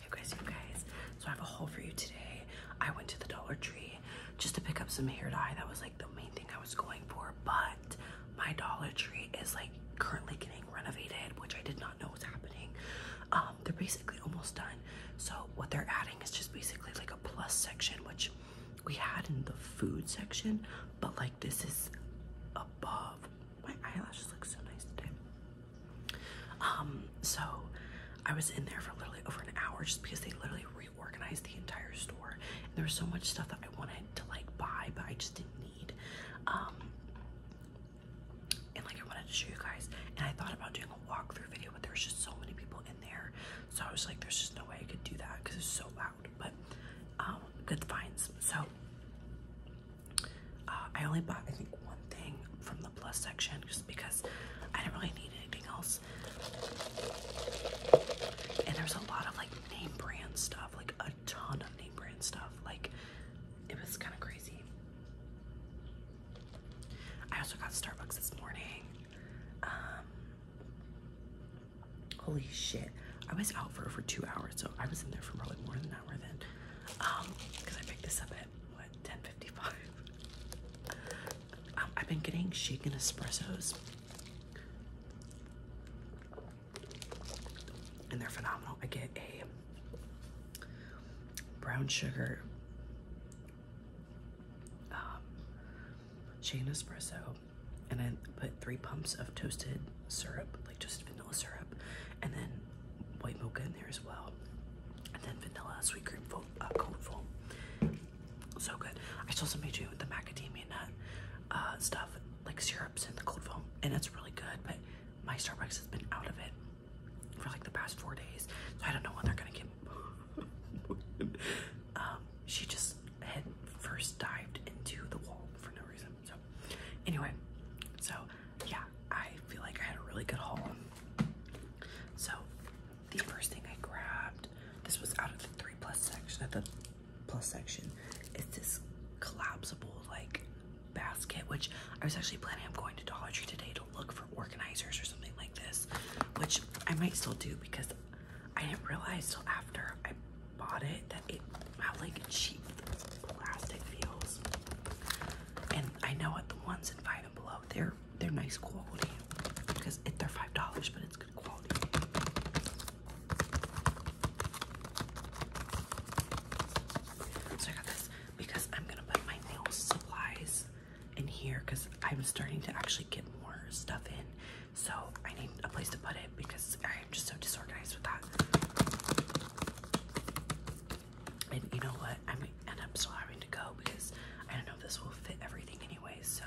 Hey guys, So I have a haul for you today. I went to the Dollar Tree just to pick up some hair dye. That was like the main thing I was going for. But my Dollar Tree is like currently getting renovated, which I did not know was happening. Um, they're basically almost done. So what they're adding is just basically like a plus section, which we had in the food section, but like this is above. My eyelashes look so nice today. Um, so I was in there for literally over an hour just because they literally reorganized the entire store. And there was so much stuff that I wanted to like buy, but I just didn't need. Um, and like I wanted to show you guys, and I thought about doing a walkthrough video, but there was just so many people in there, so I was like, there's just no way I could do that because it's so loud. But um, good finds. So uh, I only bought, I think, one thing from the plus section just because I didn't really need anything else. And there's a lot of like name brand stuff, like a ton of name brand stuff. Like, it was kind of crazy. I also got Starbucks this morning. Um, holy shit. I was out for over two hours, so I was in there for probably more than an hour then. because um, I picked this up 10:55. I've been getting shaken espressos, and they're phenomenal. I get a brown sugar um, shaken espresso, and I put three pumps of toasted syrup, like just syrup, and then white mocha in there as well, and then vanilla sweet cream foam, uh, foam. So good. I still also made you the macadamia nut uh, stuff, like syrups and the cold foam, and it's really good. But my Starbucks has been out of it for like the past four days, so I don't know when they're gonna get. um, she just had first dived into the wall for no reason. So, anyway, so yeah, I feel like I had a really good haul. So the first thing I grabbed, this was out of the three plus section at uh, the plus section, is this collapsible like basket, which I was actually planning on going to Dollar Tree today to look for organizers or something like this, which I might still do because I didn't realize till after I bought it that it had like cheap plastic feels. And I know what the ones in Five and Below, they're they're nice quality because it, they're five dollars, but it's good quality. So I got this because I'm gonna put my nail supplies in here because I'm starting to actually get more stuff in. So I need a place to put it because I am just so disorganized with that. And you know what? I mean, and I'm still having to go because I don't know if this will fit everything anyway. So,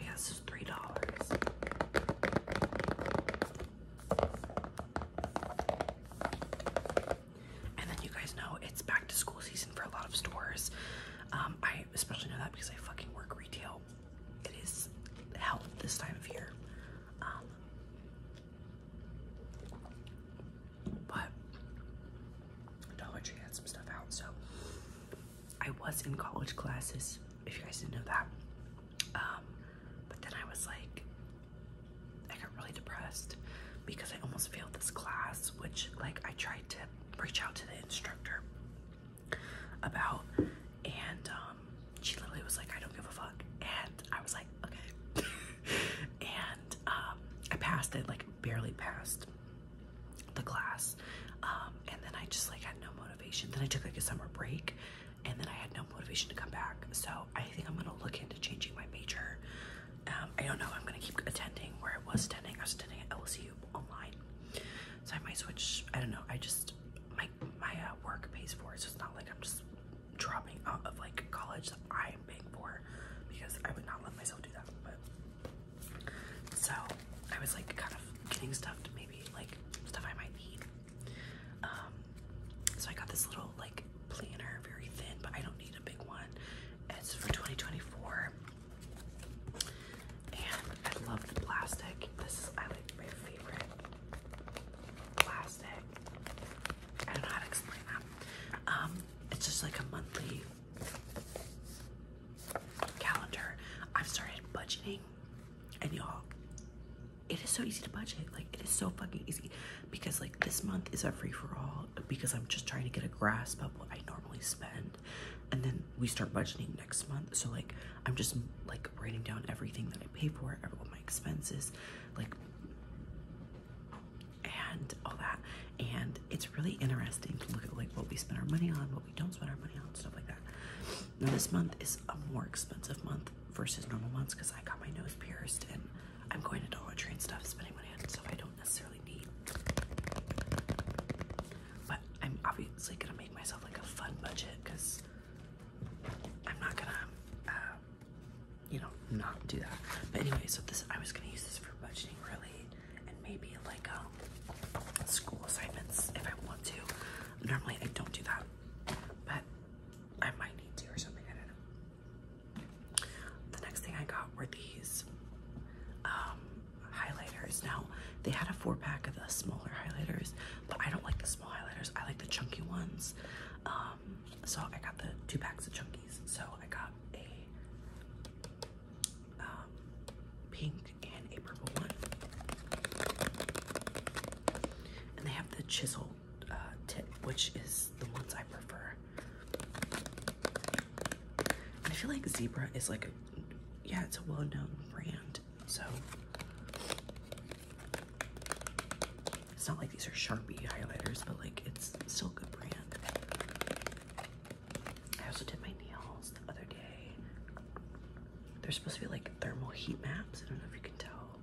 yeah, this three dollars. And then you guys know it's back to school season for a lot of stores. Um, I especially know that because I fucking work retail. It is hell this time of year. Um, but Dollar Tree had some stuff out, so I was in college classes, if you guys didn't know that. Um, but then I was like, I got really depressed because I almost failed this class, which like I tried to reach out to the instructor about, and um, she literally was like, I don't give a fuck. And I was like, okay. Um, I passed it, like barely passed the class. Um, and then I just like had no motivation. Then I took like a summer break, and then I had no motivation to come back. So I think I'm gonna look into changing my major. Um, I don't know I'm gonna keep attending where I was attending. I was attending at LSU online, so I might switch. I don't know. I just my my uh, work pays for it, so it's not like I'm just dropping out of like college that I'm paying for because I would not let myself do that. But so I was like kind of getting stuff to maybe like stuff I might need. Um, so I got this little like planner, very thin, but I don't need a big one. It's for 2024. And I love the plastic. This is I like my favorite plastic. I don't know how to explain that. Um, it's just like a monthly calendar. I've started budgeting, and y'all, it is so easy to budget. Like, it is so fucking easy because, like, this month is a free for all because I'm just trying to get a grasp of what I normally spend, and then we start budgeting next month. So, like, I'm just like writing down everything that I pay for, all my expenses, like and all that. And it's really interesting to look at like what we spend our money on, what we don't spend our money on, stuff like that. Now this month is a more expensive month versus normal months because I got my nose pierced and I'm going to Dollar Tree and stuff, spending money on stuff I don't necessarily need. But I'm obviously gonna make myself like a fun budget because I'm not gonna uh, you know, not do that. But anyway, so this I was gonna use this for budgeting really, and maybe like um school assignments if I want to. Normally I don't do that, but I might need to or something. I don't know. The next thing I got were these um highlighters. Now they had a four pack of the smaller highlighters, but I don't like the small highlighters. I like the chunky ones. Um, so I got the two packs of chunkies. So I got a um, pink and a purple one. And they have the chisel uh, tip, which is the ones I prefer. I feel like Zebra is like a, yeah, it's a well-known brand, so it's not like these are Sharpie highlighters, but like it's still a good brand. I also did my nails the other day. They're supposed to be like thermal heat maps. I don't know if you can tell.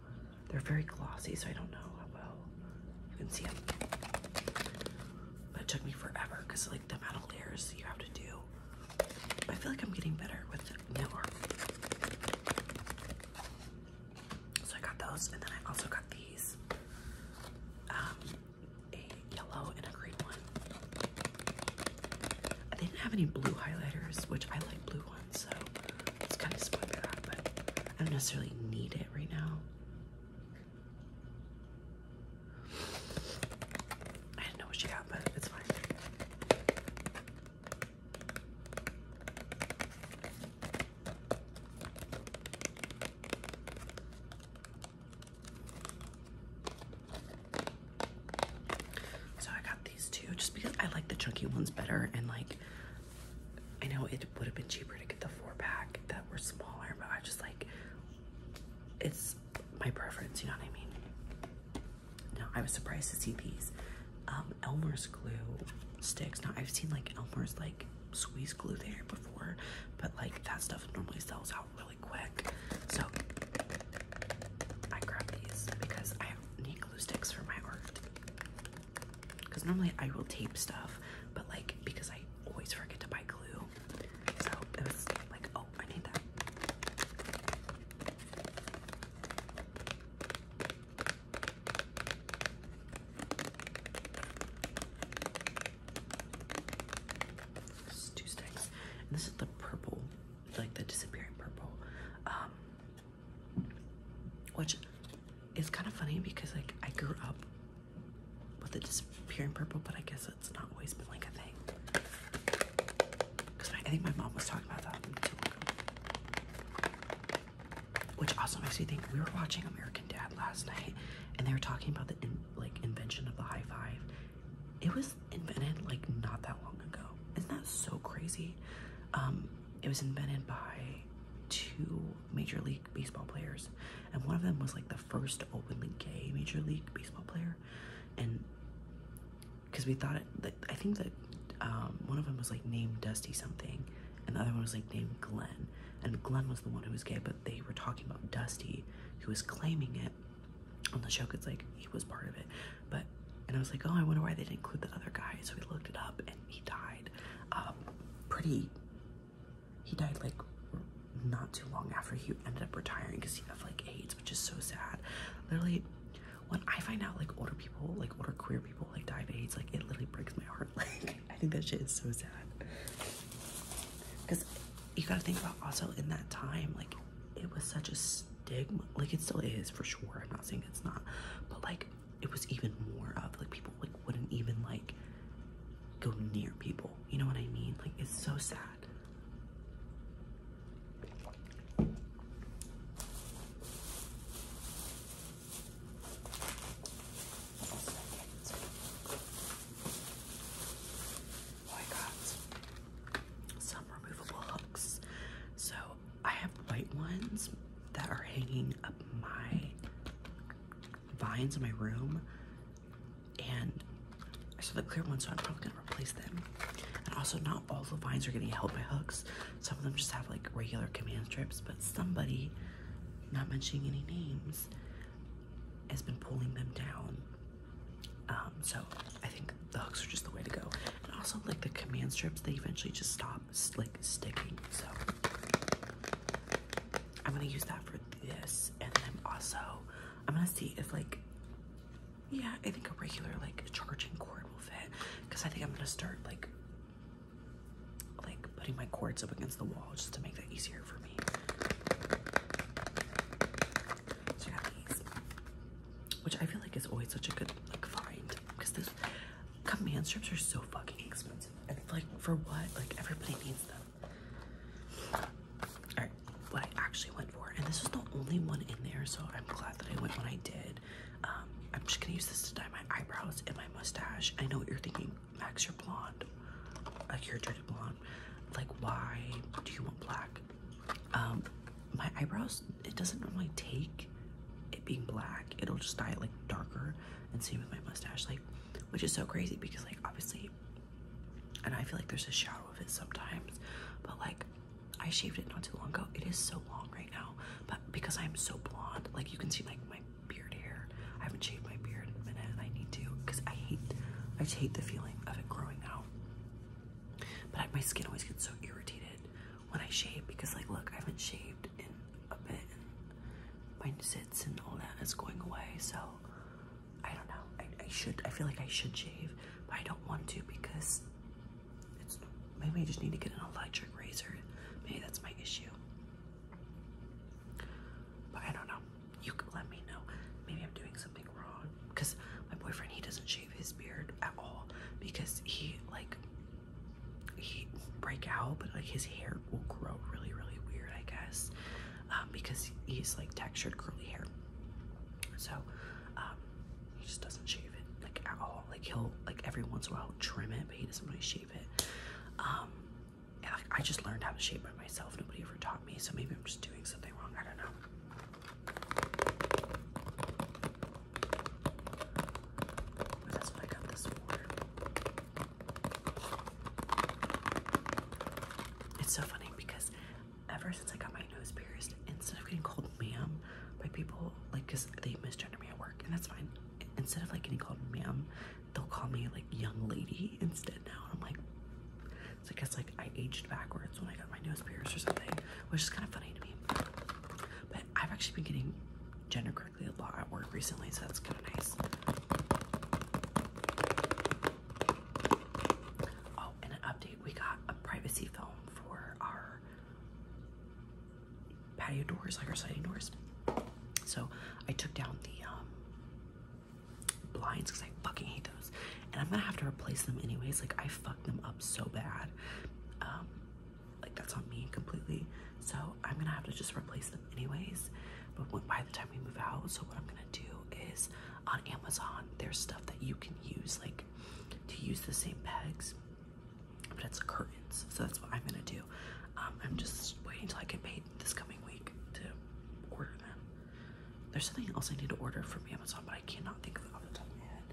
They're very glossy, so I don't know how well you can see them. But it took me forever because like the metal layers you have to do. I feel like I'm getting better with nail so I got those, and then I also got these um, a yellow and a green one. They didn't have any blue highlighters, which I like blue ones, so it's kind of disappointed by that, but I don't necessarily need it right now. I didn't know what she got, but it's fine. So I got these two just because I like the chunky ones better and like I know it would have been cheaper to get the four pack that were smaller, but I just like it's my preference, you know what I mean? Now I was surprised to see these um, Elmer's glue sticks. Now I've seen like Elmer's like squeeze glue there before, but like that stuff normally sells out really quick. So I grab these because I need glue sticks for my art. Because normally I will tape stuff, but like because I always forget to buy glue, so it was like, oh, I need that two sticks. this is the purple, like the disappearing purple. Um, which is kind of funny because like I grew up with the disappearing purple, but I guess it's not always been like a thing. Because I think my mom was talking about that Which also makes me think we were watching American Dad last night and they were talking about the like invention of the high five. It was invented like not that long ago. Isn't that so crazy? Um, it was invented by two major league baseball players, and one of them was like the first openly gay major league baseball player, and because we thought it, I think that um, one of them was like named Dusty something, and the other one was like named Glenn. And Glenn was the one who was gay, but they were talking about Dusty, who was claiming it on the show because like he was part of it. But and I was like, oh, I wonder why they didn't include the other guy. So we looked it up, and he died. Um, pretty. He died like not too long after he ended up retiring because he had like AIDS, which is so sad. Literally, when I find out like older people, like older queer people, like die of AIDS, like it literally breaks my heart. Like I think that shit is so sad. Because you gotta think about also in that time, like, it was such a stigma. Like, it still is for sure. I'm not saying it's not. But, like, it was even more of, like, people, like, wouldn't even, like, go near people. You know what I mean? Like, it's so sad. Oh, I got some removable hooks. So I have white ones that are hanging up my vines in my room, and I saw the clear ones, so I'm probably gonna replace them. And also, not all the vines are getting held by hooks. Some of them just have like regular command strips, but somebody, not mentioning any names, has been pulling them down. Um, so I think the hooks are just the way to go. And also like the command strips, they eventually just stop like sticking. So I'm gonna use that for this. And then also I'm gonna see if like, yeah, I think a regular like charging cord will fit. Cause I think I'm gonna start like like putting my cords up against the wall just to make that easier for me. which I feel like is always such a good like find because those command strips are so fucking expensive. And like for what? Like everybody needs them. Alright, what I actually went for, and this is the only one in there, so I'm glad that I went when I did. Um, I'm just gonna use this to dye my eyebrows and my mustache. I know what you're thinking. Max, you're blonde. Like you're dirty blonde. Like why do you want black? Um, my eyebrows, it doesn't normally take it being black. It'll just dye it like darker. And same with my mustache, like, which is so crazy because like obviously, and I feel like there's a shadow of it sometimes, but like I shaved it not too long ago. It is so long right now, but because I'm so blonde, like you can see like my beard hair. I haven't shaved my beard in a minute, and I need to because I hate, I hate the feeling of it growing out. But I, my skin always gets so irritated when I shave because, like, look, I haven't shaved in a bit, and my zits and all that is going away. So I don't know. I should. I feel like I should shave, but I don't want to because it's maybe I just need to get an electric razor. Maybe that's my issue. But I don't know. You can let me know. Maybe I'm doing something wrong. Because my boyfriend, he doesn't shave his beard at all because he, like, he break out, but like his hair will grow really, really weird, I guess, um, because he's like textured curly hair. So um, he just doesn't shave it like at all. Like he'll like every once in a while trim it, but he doesn't really shave it. Um, and I, just learned how to shape by myself. Nobody ever taught me, so maybe I'm just doing something wrong. I don't know. that's what I got this for. It's so funny because ever since I got my nose pierced, instead of getting called ma'am by people, like, because they misgender me at work, and that's fine. Instead of like getting called ma'am, they'll call me like young lady instead now. And I'm like, so I guess like I aged backwards when I got my nose pierced or something, which is kind of funny to me. But I've actually been getting gender correctly a lot at work recently, so that's kind of nice. Oh, and an update. We got a privacy film for our patio doors, like our sliding doors. So I took down the um, blinds because I fucking hate those. And I'm gonna have to replace them anyways. Like I fucked them up so bad. Um, like that's on me completely. So I'm gonna have to just replace them anyways. But when, by the time we move out, so what I'm gonna do is on Amazon, there's stuff that you can use, like to use the same pegs, but it's curtains. So that's what I'm gonna do. Um, I'm just waiting till I get paid this coming week to order them. There's something else I need to order from Amazon, but I cannot think of it off the top of my head.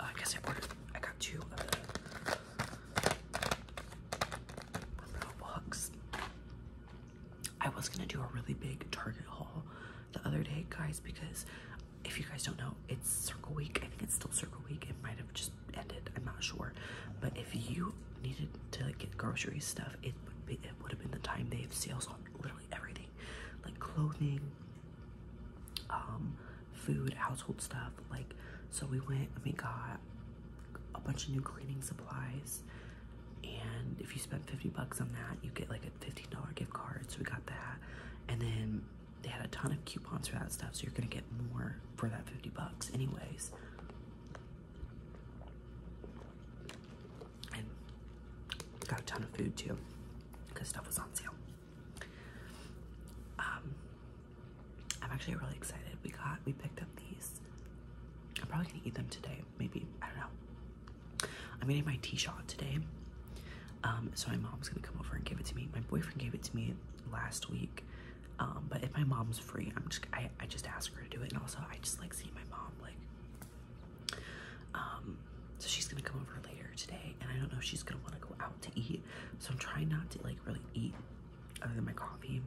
Uh, I guess I ordered. I got two of I was gonna do a really big Target haul the other day, guys, because if you guys don't know, it's Circle Week. I think it's still Circle Week. It might have just ended. I'm not sure, but if you needed to get grocery stuff, it would it would have been the time they have sales on literally everything, like clothing, um, food, household stuff. Like, so we went and we got a bunch of new cleaning supplies, and if you spend fifty bucks on that, you get like a fifteen dollar gift card. So we got that, and then they had a ton of coupons for that stuff so you're gonna get more for that 50 bucks anyways and got a ton of food too, because stuff was on sale. Um, I'm actually really excited. We got, we picked up these. I'm probably gonna eat them today. Maybe, I don't know. I'm getting my T shot today. Um, so my mom's gonna come over and give it to me. My boyfriend gave it to me last week um, but if my mom's free, I'm just I, I just ask her to do it. And also I just like see my mom like um so she's gonna come over later today and I don't know if she's gonna want to go out to eat. So I'm trying not to like really eat other than my coffee.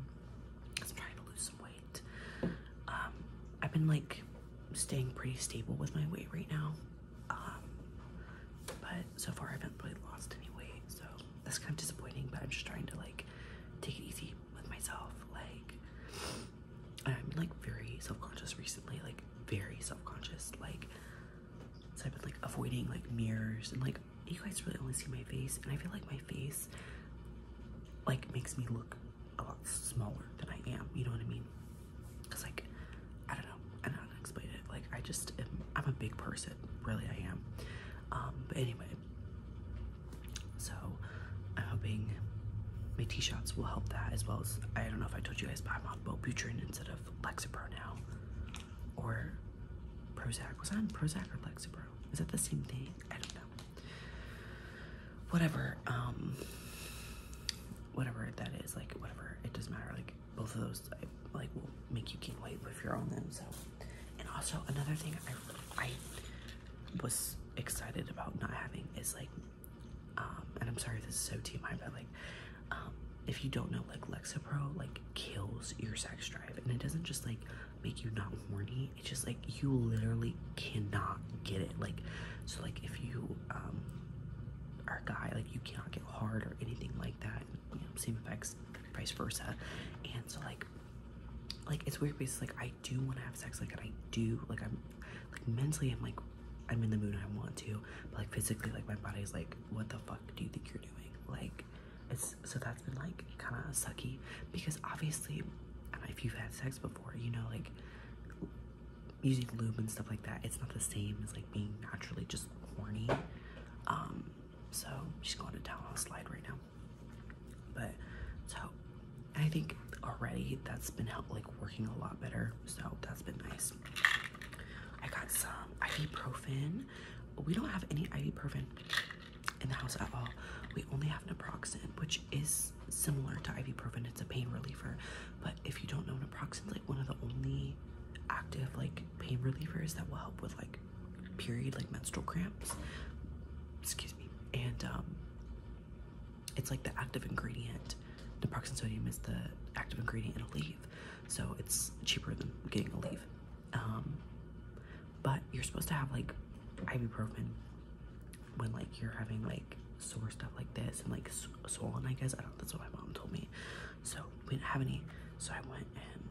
Because I'm trying to lose some weight. Um I've been like staying pretty stable with my weight right now. Um but so far I haven't really lost any weight so that's kind of disappointing, but I'm just trying to like take it easy with myself. Like, I'm like very self conscious recently, like, very self conscious. Like, so I've been like avoiding like mirrors and like you guys really only see my face, and I feel like my face like makes me look a lot smaller than I am, you know what I mean? Because, like, I don't know, I don't know how to explain it. Like, I just am, I'm a big person, really, I am. Um, but anyway, so I'm hoping my T shots will help that as well as I don't know if I told you guys, but I'm on Wellbutrin instead of Lexapro now, or Prozac. Was I on Prozac or Lexapro? Is that the same thing? I don't know. Whatever, um, whatever that is, like whatever. It doesn't matter. Like both of those, like will make you gain weight if you're on them. So and also another thing I, was excited about not having is like, um, and I'm sorry this is so TMI, but like, um, if you don't know, like Lexapro like kills your sex drive, and it doesn't just like make you not horny. It's just like you literally cannot get it. Like, so like if you um are guy, like you cannot get hard or anything like that. same effects, vice versa. And so like like it's weird because like I do want to have sex, like and I do, like I'm, like mentally I'm like, I'm in the mood I want to, but like physically like my body's like, what the fuck do you think you're doing? Like, it's so that's been like kind of sucky because obviously, if you've had sex before, you know like using lube and stuff like that, it's not the same as like being naturally just horny. Um, so she's going to town on slide right now. But so I think already that's been help like working a lot better. So that's been nice. I got some ibuprofen. We don't have any ibuprofen in the house at all. We only have naproxen, which is similar to ibuprofen. It's a pain reliever. But if you don't know, naproxen's like one of the only active like pain relievers that will help with like period, like menstrual cramps. Excuse me. And um, it's like the active ingredient. Naproxen sodium is the active ingredient in a leave, so it's cheaper than getting a leave. Um, but you're supposed to have like ibuprofen when like you're having like sore stuff like this and like swollen. I guess I don't. That's what my mom told me. So we didn't have any, so I went and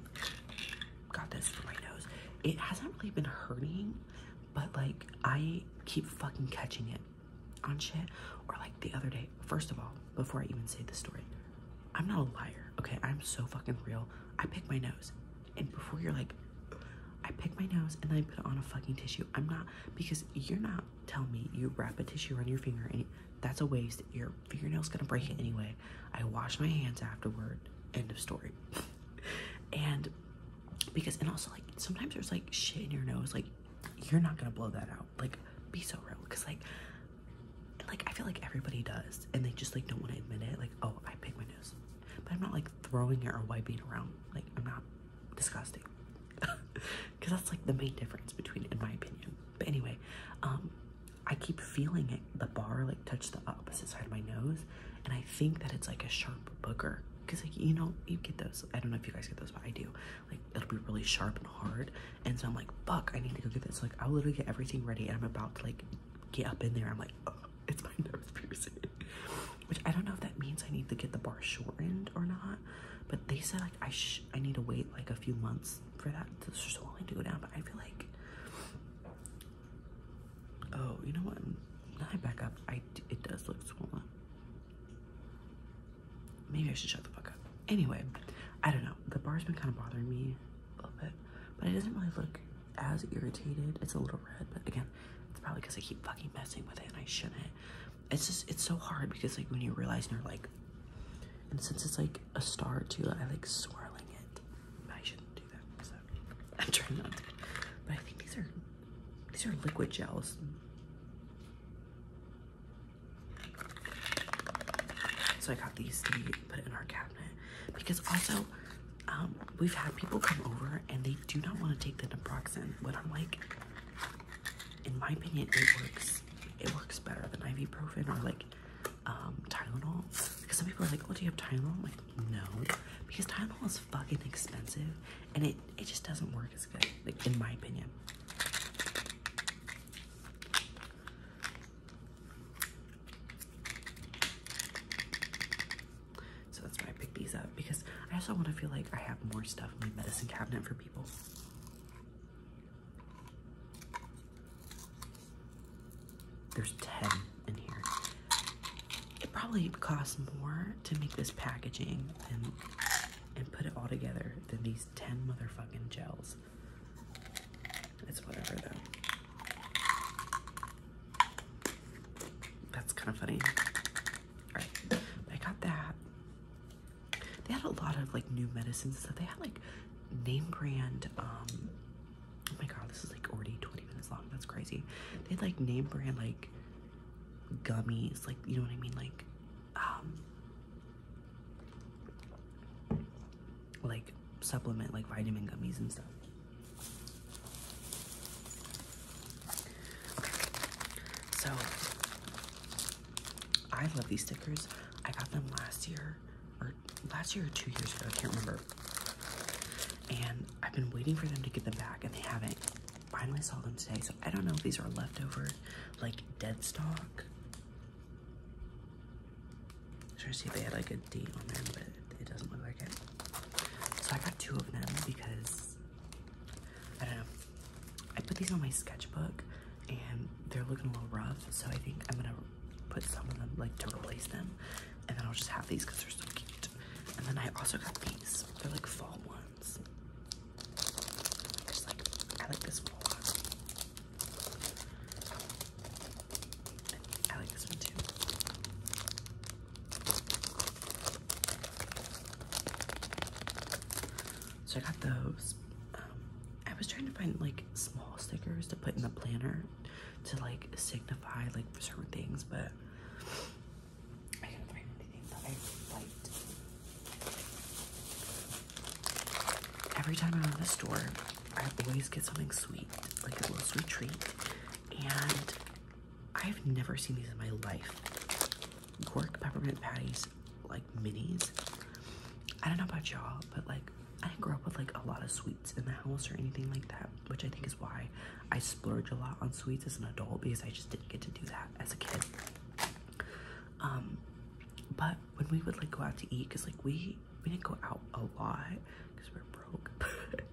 got this for my nose. It hasn't really been hurting, but like I keep fucking catching it on shit. Or like the other day, first of all, before I even say the story, I'm not a liar, okay? I'm so fucking real. I pick my nose. And before you're like, I pick my nose and then I put it on a fucking tissue. I'm not, because you're not telling me you wrap a tissue around your finger and that's a waste. Your fingernail's gonna break it anyway. I wash my hands afterward. End of story. and because, and also, like, sometimes there's like shit in your nose, like, you're not gonna blow that out. Like, be so real. Cause, like, like, I feel like everybody does, and they just like don't want to admit it. Like, oh, I pick my nose, but I'm not like throwing it or wiping it around. Like, I'm not disgusting because that's like the main difference between, in my opinion. But anyway, um, I keep feeling it the bar like touched the opposite side of my nose, and I think that it's like a sharp booger. Cause like you know you get those. I don't know if you guys get those, but I do. Like it'll be really sharp and hard, and so I'm like, fuck, I need to go get this. like I'll literally get everything ready, and I'm about to like get up in there. I'm like, it's my nose piercing, which I don't know if that means I need to get the bar shortened or not. But they said like I sh I need to wait like a few months for that to swelling to go down. But I feel like Oh, you know what? Now I back up. I it does look swollen. Maybe I should shut the fuck up. Anyway, I don't know. The bar's been kind of bothering me a little bit, but it doesn't really look as irritated. It's a little red, but again, it's probably because I keep fucking messing with it and I shouldn't. It's just it's so hard because like when you realize you're like, and since it's like a star too, I like swirling it. I shouldn't I'm trying not to. But I think these are these are liquid gels. So I got these to put in our cabinet because also um, we've had people come over and they do not want to take the naproxen. But I'm like, in my opinion, it works. It works better than ibuprofen or like um, Tylenol. Because some people are like, oh, do you have Tylenol? I'm like, no. Because Tylenol is fucking expensive and it, it just doesn't work as good, like in my opinion. So that's why I picked these up because I also want to feel like I have more stuff in my medicine cabinet for people. There's 10 in here. It probably costs more to make this packaging and, and put it all together than these 10 motherfucking gels. It's whatever though. That's kind of funny. Alright, I got that. They had a lot of like new medicines. So they had like name brand um, Oh my god, this is like already 20 minutes long. That's crazy. They had like name brand like gummies, like you know what I mean? Like um, like supplement like vitamin gummies and stuff. So I love these stickers. I got them last year or last year or two years ago, I can't remember and I've been waiting for them to get them back, and they haven't. Finally saw them today, so I don't know if these are leftover, like dead stock. I'm trying to see if they had like a date on there, but it doesn't look like it. So I got two of them because I don't know. I put these on my sketchbook, and they're looking a little rough, so I think I'm gonna put some of them like to replace them and then I'll just have these because they're so cute. And then I also got these. They're like fall ones. I just like I like this one I like this one too. So I got those. Um, I was trying to find like small stickers to put in the planner to like signify like certain things, but Every time I'm in the store, I always get something sweet, like a little sweet treat. And I've never seen these in my life. Gork peppermint patties, like minis. I don't know about y'all, but like I didn't grow up with like a lot of sweets in the house or anything like that, which I think is why I splurge a lot on sweets as an adult because I just didn't get to do that as a kid. Um, but when we would like go out to eat, cause like we we didn't go out a lot because we are broke.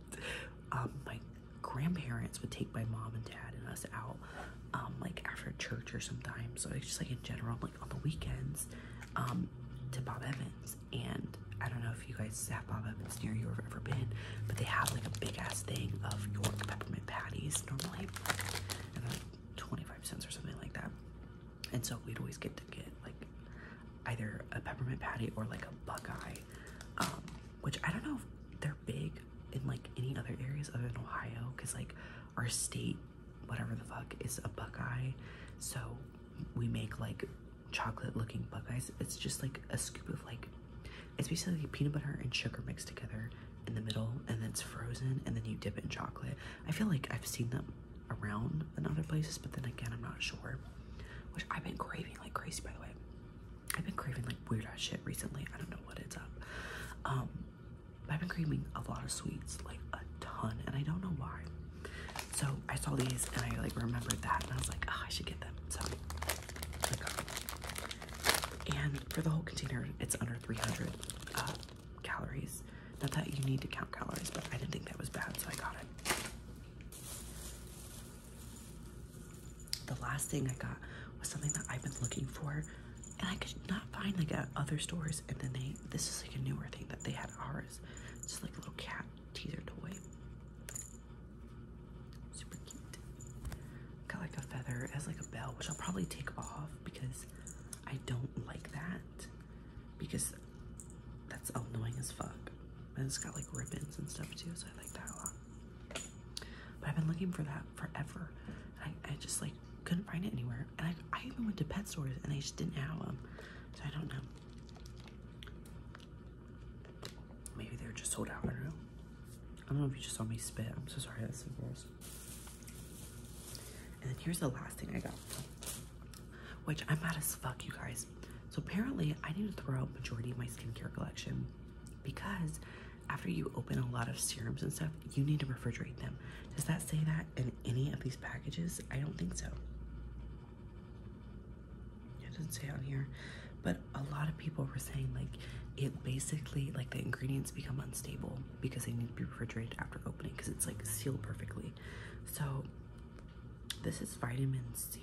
um, my grandparents would take my mom and dad and us out, um, like after church or sometimes. So it's just like in general, like on the weekends, um, to Bob Evans and I don't know if you guys sap on up it's near you or ever been, but they have like a big ass thing of York peppermint patties normally, and like 25 cents or something like that. And so we'd always get to get like either a peppermint patty or like a Buckeye, um, which I don't know if they're big in like any other areas other than Ohio, because like our state, whatever the fuck, is a Buckeye, so we make like chocolate looking but guys, It's just like a scoop of like, it's basically peanut butter and sugar mixed together in the middle and then it's frozen and then you dip it in chocolate. I feel like I've seen them around in other places, but then again, I'm not sure. Which I've been craving like crazy, by the way. I've been craving like weird ass shit recently. I don't know what it's up. Um, I've been craving a lot of sweets, like a ton, and I don't know why. So I saw these and I like remembered that and I was like, ah, I should get them. So and for the whole container, it's under 300 uh, calories. Not that you need to count calories, but I didn't think that was bad, so I got it. The last thing I got was something that I've been looking for, and I could not find like at other stores. And then they, this is like a newer thing that they had ours. It's like a little cat teaser toy. Super cute. Got like a feather. It has like a bell, which I'll probably take off because I don't like that. Because that's annoying as fuck. And it's got like ribbons and stuff too, so I like that a lot. But I've been looking for that forever. I, I just like couldn't find it anywhere. And I, I even went to pet stores and they just didn't have them. So I don't know. Maybe they are just sold out. I don't know. I don't know if you just saw me spit. I'm so sorry. That's so gross. And then here's the last thing I got, which I'm mad as fuck, you guys. So apparently, I need to throw out majority of my skincare collection because after you open a lot of serums and stuff, you need to refrigerate them. Does that say that in any of these packages? I don't think so it doesn't say on here, but a lot of people were saying like it basically like the ingredients become unstable because they need to be refrigerated after opening because it's like sealed perfectly. So this is vitamin C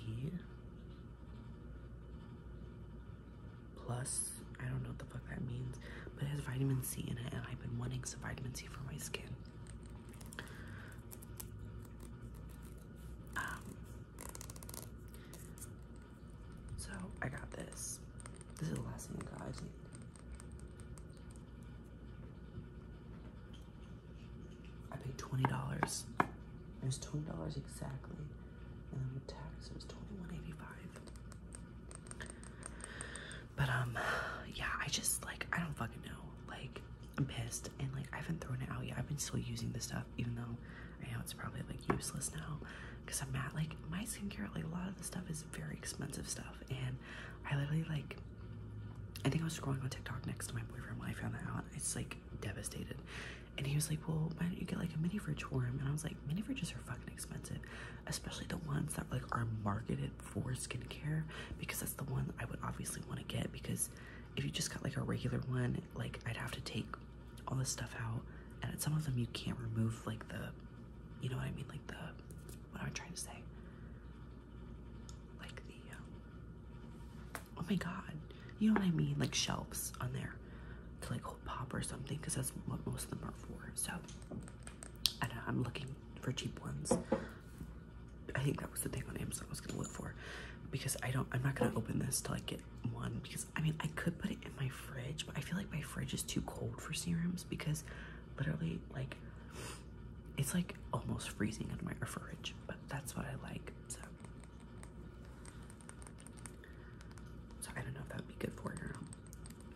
plus I don't know what the fuck that means, but it has vitamin C in it and I've been wanting some vitamin C for my skin. Um, so I got this. This is the last one, I need. I paid twenty dollars. It was twenty dollars exactly, and then with tax it was twenty one eighty five. But um, yeah, I just like I don't fucking know. Like I'm pissed, and like I haven't thrown it out yet. I've been still using the stuff even though I know it's probably like useless now because I'm at like my skincare, like a lot of the stuff is very expensive stuff. And I literally like, I think I was scrolling on TikTok next to my boyfriend when I found that out. It's like devastated. And he was like, Well, why don't you get like a mini fridge for him? And I was like, Mini fridges are fucking expensive, especially the ones that like are marketed for skincare because that's the one I would obviously want to get because if you just got like a regular one, like I'd have to take all this stuff out, and some of them you can't remove, like the, you know what I mean, like the, what am I trying to say? Like the, um, oh my god, you know what I mean, like shelves on there to like hold pop or something, because that's what most of them are for. So, I I'm looking for cheap ones. I think that was the thing on Amazon I was gonna look for, because I don't, I'm not gonna open this till I get one because I mean I could put it in my fridge, but I feel like my fridge is too cold for serums because literally like it's like almost freezing in my fridge, but that's what I like. So So I don't know if that would be good for it or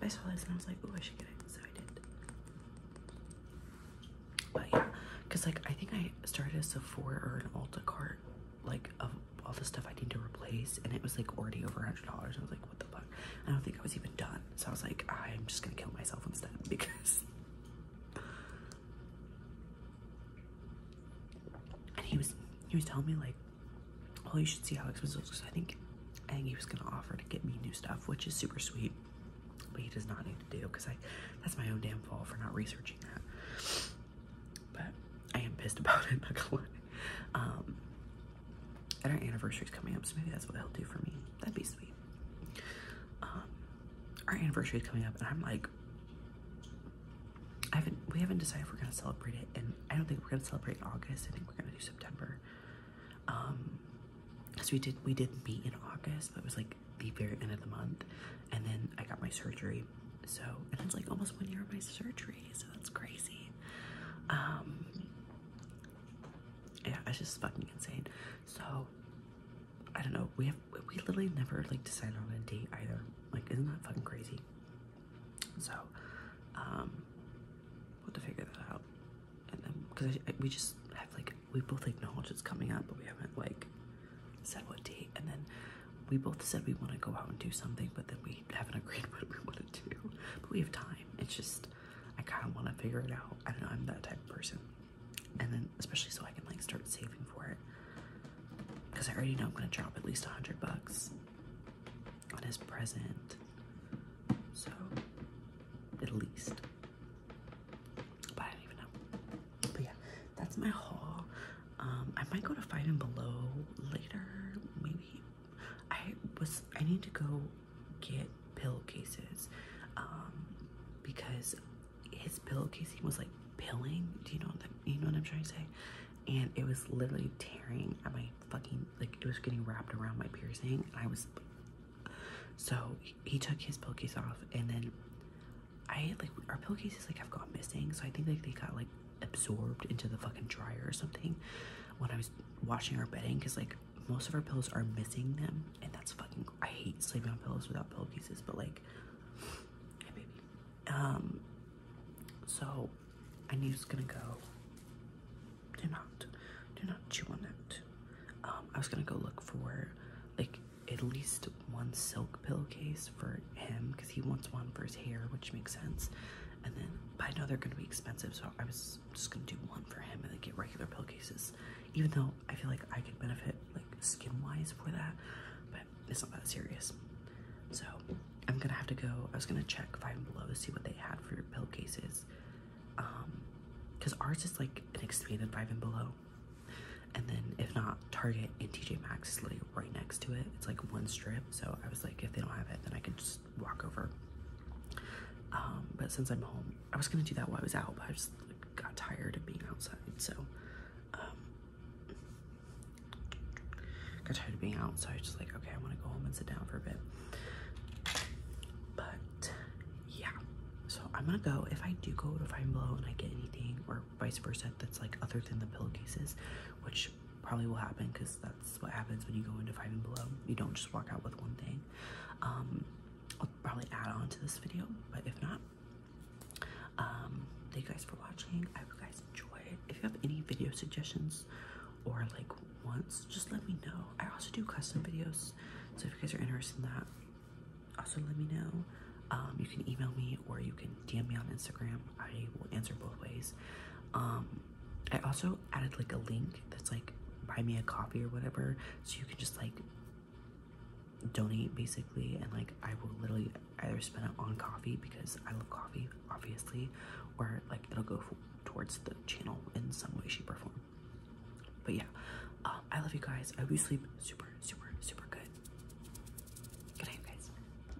I saw this and I was like, oh I should get it, so I did. But yeah, because like I think I started a Sephora or an Ulta cart like a all the stuff I need to replace, and it was like already over a hundred dollars. I was like, what the fuck? I don't think I was even done. So I was like, ah, I'm just gonna kill myself instead because. and he was he was telling me like, well, you should see how expensive it looks. I think I think he was gonna offer to get me new stuff, which is super sweet. But he does not need to do because I that's my own damn fault for not researching that. But I am pissed about it, not gonna Um, and our anniversary's coming up, so maybe that's what he'll do for me. That'd be sweet. Um, our anniversary's coming up, and I'm like, I haven't, we haven't decided if we're gonna celebrate it, and I don't think we're gonna celebrate August. I think we're gonna do September. Um, because we did, we did meet in August, but it was like the very end of the month and then I got my surgery. So, and it's like almost one year of my surgery, so that's crazy. Um, yeah, it's just fucking insane. So, I don't know. We have we literally never like decided on a date either. Like, isn't that fucking crazy? So, um, we to figure that out. And then, because we just have like we both acknowledge it's coming up, but we haven't like said what date. And then we both said we want to go out and do something, but then we haven't agreed what we want to do. But we have time. It's just, I kind of want to figure it out. I don't know, I'm that type of person. And then, especially so I can like start saving for it. Because I already know I'm going to drop at least a hundred bucks on his present. So, at least. But I don't even know. But yeah, that's my haul. Um, I might go to Fine and Below later. Maybe I was. I need to go get pillowcases um, because his pillowcase was like pilling. Do you know what that, you know what I'm trying to say? And it was literally tearing at my fucking like it was getting wrapped around my piercing, I was. So he took his pillowcase off, and then I like our pillowcases like have gone missing. So I think like they got like absorbed into the fucking dryer or something when I was washing our bedding because like most of our pillows are missing them and that's fucking I hate sleeping on pillows without pillowcases but like hey baby um so I knew it's gonna go do not do not chew on that um I was gonna go look for like at least one silk pillowcase for him because he wants one for his hair, which makes sense. And then, but I know they're gonna be expensive, so I was just gonna do one for him and then get regular pillowcases. Even though I feel like I could benefit like skin wise for that, but it's not that serious. So I'm gonna have to go. I was gonna check Five and Below to see what they had for pillowcases, um, because ours is like an expanded Five and Below. And then, if not, Target and TJ Maxx is literally right next to it. It's like one strip, so I was like, if they don't have it, then I can just walk over. Um, but since I'm home, I was gonna do that while I was out, but I just got tired of being outside, so um, got tired of being out, so I was just like, okay, I want to go home and sit down for a bit. But yeah, so I'm gonna go. If I do go to Find Blue and I get anything, or vice versa, that's like other than the pillowcases, which probably will happen because that's what happens when you go into five and below. You don't just walk out with one thing. Um, I'll probably add on to this video, but if not, um, thank you guys for watching. I hope you guys enjoy it. If you have any video suggestions or like wants, just let me know. I also do custom videos, so if you guys are interested in that, also let me know. Um, you can email me or you can DM me on Instagram. I will answer both ways. Um, I also added like a link that's like buy me a coffee or whatever, so you can just like donate basically and like I will literally either spend it on coffee because I love coffee obviously or like it'll go towards the channel in some way shape or form but yeah um, I love you guys I hope you sleep super super super good good night guys